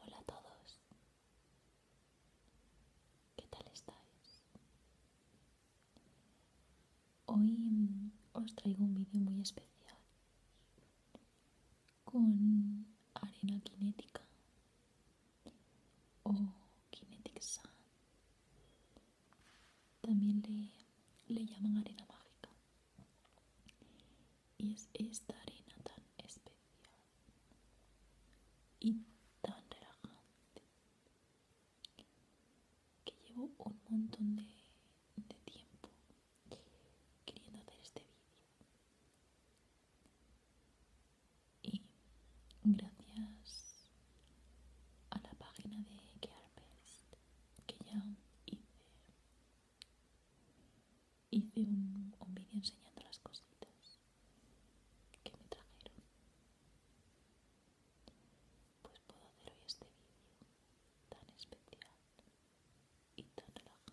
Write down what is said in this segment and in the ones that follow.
Hola a todos. ¿Qué tal estáis? Hoy os traigo un vídeo muy especial con arena cinética o kinetic sand. También le llaman arena mágica y es esta arena tan especial y tan relajante que llevo un montón de, tiempo queriendo hacer este vídeo y gracias a la página de arpest que ya hice hice un, un vídeo enseñando las cositas que me trajeron. Pues puedo hacer hoy este vídeo tan especial y tan relajante.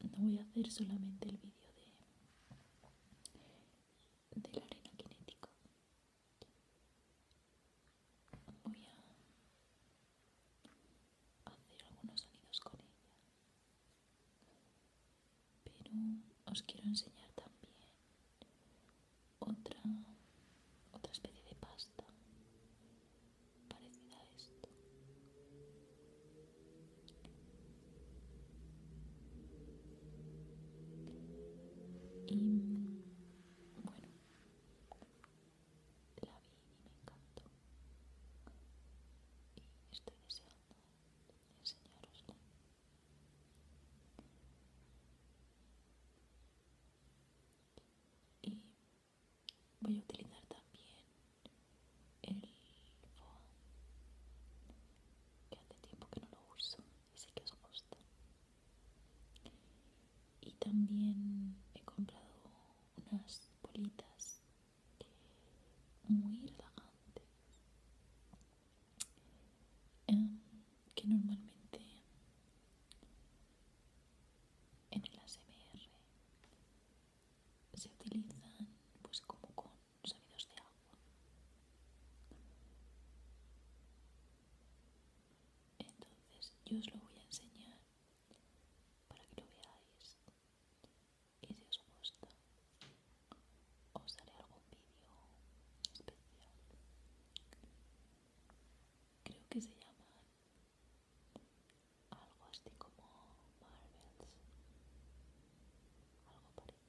Bueno, no voy a hacer solamente el vídeo de del arena kinético voy a hacer algunos sonidos con ella pero os quiero enseñar también otra otra especie de pasta parecida a esto y bueno, la vi y me encantó. Y estoy deseando enseñarosla. Y voy a utilizar también el que hace tiempo que no lo uso y sé que os gusta. Y también he comprado unas bolitas muy elegantes em, que normalmente en el ASMR se utilizan pues como con sonidos de agua. Entonces yo os lo voy a enseñar para que lo veáis y si os gusta os haré algún vídeo especial. Creo que se llama algo así como Marvels, algo parecido.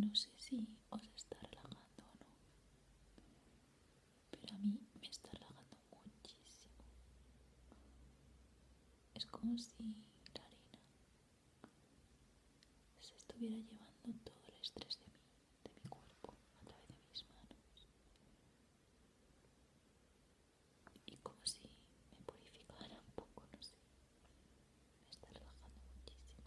No sé si os está relajando o no, pero a mí me está relajando muchísimo. Es como si la harina se estuviera llevando todo el estrés de de mi cuerpo, a través de mis manos. Y como si me purificara un poco, no sé. Me está relajando muchísimo.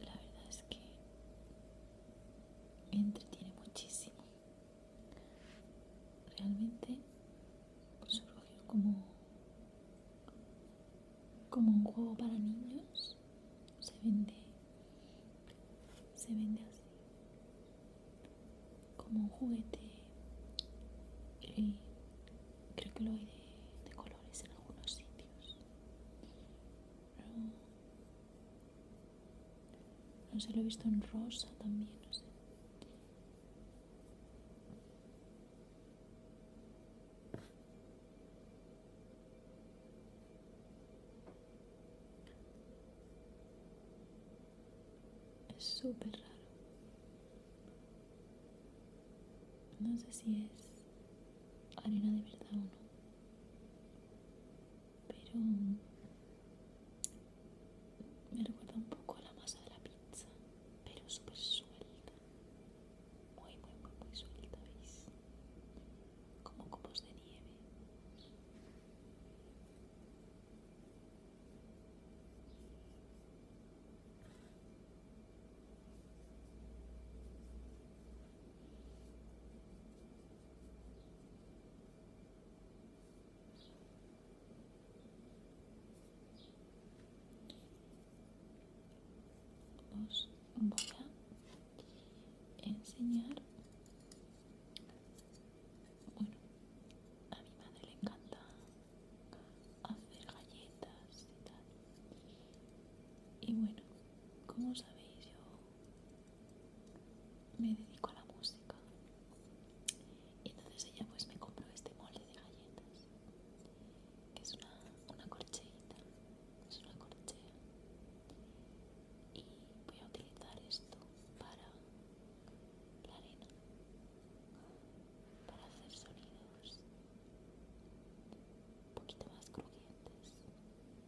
La verdad es que me entretiene muchísimo realmente pues, surgió como, como un juego para niños. Se vende, se vende así, como un juguete. Y creo que lo hay de, colores en algunos sitios. No se lo he visto en rosa también, no sé. Es súper raro. No sé si es arena de verdad o no pero me recuerda un poco a la masa de la pizza, pero súper suelta, muy, muy, muy, muy suelta, ¿veis? Como copos de nieve. Os voy a enseñar. Bueno, a mi madre le encanta hacer galletas y tal. Y bueno, como sabéis, yo me dedico a la música. Y entonces ella pues me compró este molde de galletas, que es una, una corcheita, es una corchea. Y voy a utilizar esto para la arena, para hacer sonidos un poquito más crujientes.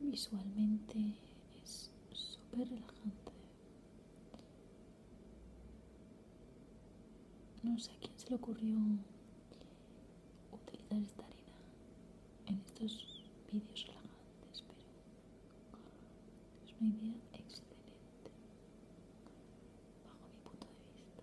visualmente es súper relajante. No sé a quién se le ocurrió utilizar esta harina en estos vídeos relajantes, pero es una idea excelente bajo mi punto de vista.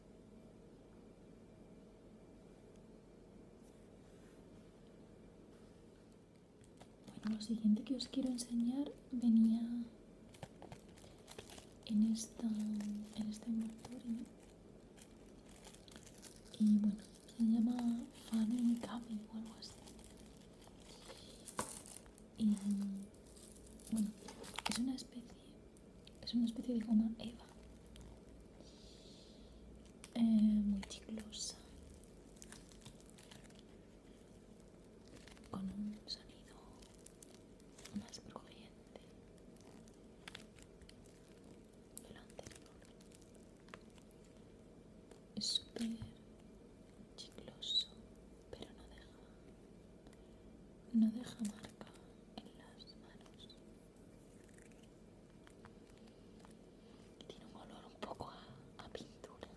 Bueno, lo siguiente que os quiero enseñar venía en, esta, en este envoltorio y bueno, se llama Fanny Kami o algo así. Y bueno, es una especie es una especie de goma eva eh, muy chiclosa con un sonido más corriente que anterior es súper chicloso pero no deja no deja marca en las manos tiene un olor un poco a, pintura.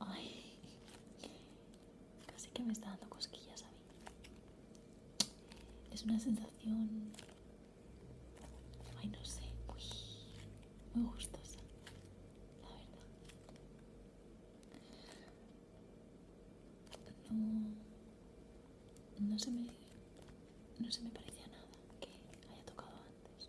Ay, casi que me está dando cosquillas es una sensación, ay no sé, muy gustosa, la verdad. no se me, no se me parecía nada que haya tocado antes.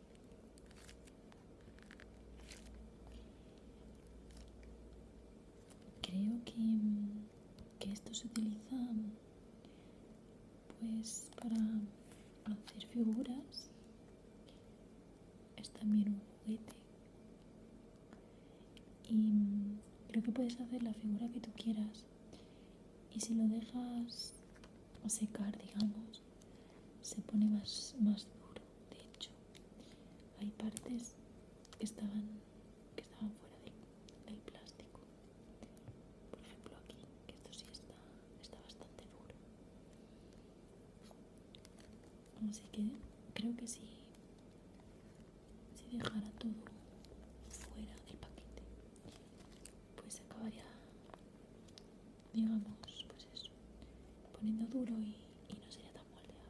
Creo que, esto se utiliza pues para hacer figuras. Es también un juguete. Y creo que puedes hacer la figura que tú quieras. Y si lo dejas secar, digamos, se pone más, duro, de hecho. Hay partes que estaban, que estaban fuera del plástico. Por ejemplo aquí, que esto sí está, está bastante duro. Así que creo que si, si dejara todo fuera del paquete, pues acabaría digamos, pues eso, poniendo duro y, y no sería tan moldeable.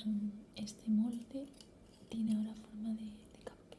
Em, este molde tiene ahora forma de, de cupcake. A ver qué tal.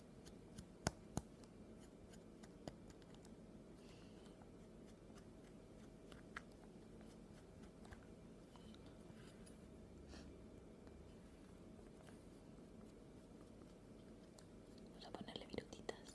Vamos a ponerle virutitas.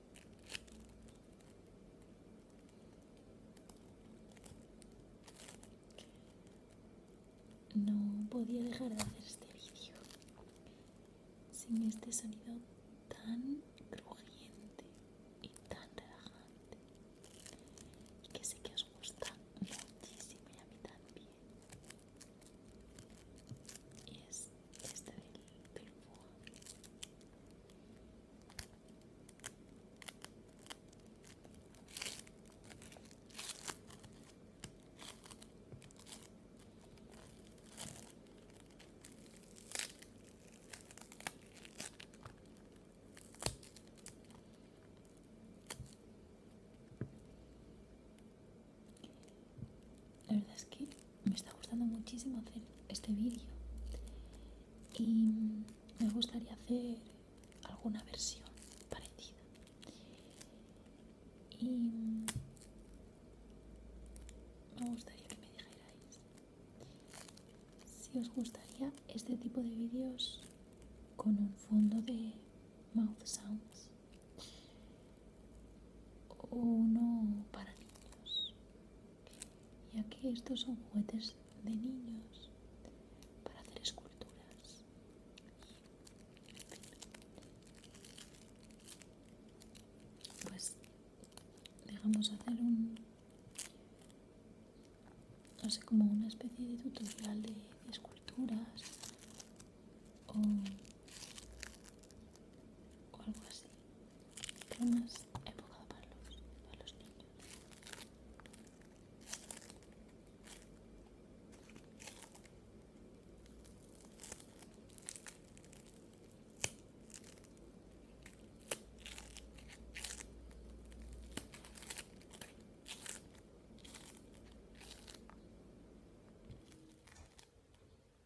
No podía dejar de hacer este vídeo sin este sonido tan crujiente y tan relajante y que sé que os gusta muchísimo y a mí también. es está el perfume la verdad es que me está gustando muchísimo hacer este vídeo y me gustaría hacer alguna versión parecida y me gustaría que me dijerais si os gustaría este tipo de vídeos con un fondo de mouth sounds uno para niños y aquí estos son juguetes de niños para hacer esculturas pues dejamos hacer un no sé como una especie de tutorial de, de esculturas o o algo así cremas enfocada para los, para los niños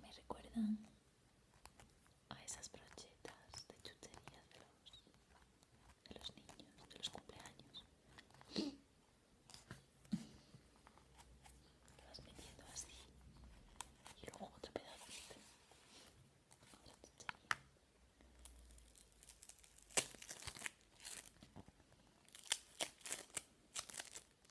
Me recuerdan a esas brochetas de chucherías de los, de los niños, de los cumpleaños. Lo vas metiendo así y luego otro pedacito.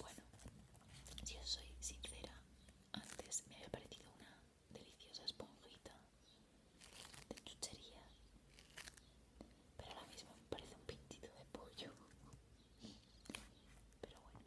Bueno, si os soy sincera, antes me había parecido una deliciosa esponjita de chuchería, pero ahora mismo me parece un pintito de pollo. Pero bueno,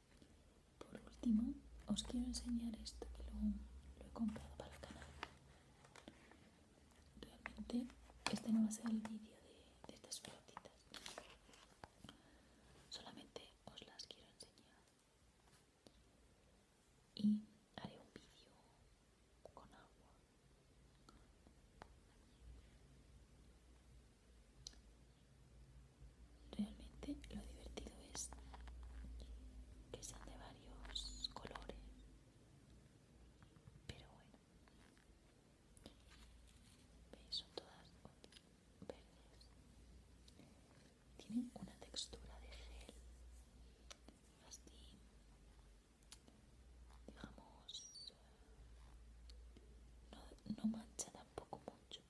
Por último, os quiero enseñar esto que lo, he comprado para el canal. Realmente, este no va a ser el vídeo de, de estas pelotitas. Solamente os las quiero enseñar. Y haré un vídeo con agua. Realmente lo divertido es que son de varios colores. Pero bueno. ¿Veis? Son todas verdes. Tienen una textura de gel. Así. Digamos. no mancha tampoco mucho.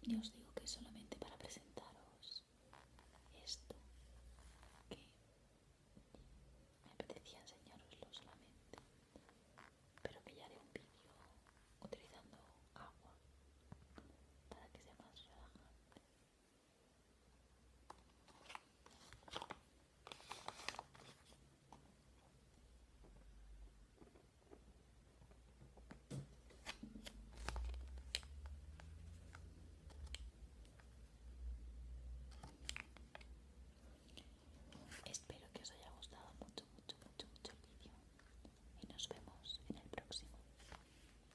Bueno, ya os digo que solamente para presentaros esto que me apetecía enseñaroslo solamente, pero que ya haré un vídeo utilizando agua para que sea más relajante. Espero que os haya gustado mucho, mucho, mucho, mucho el vídeo y nos vemos en el próximo.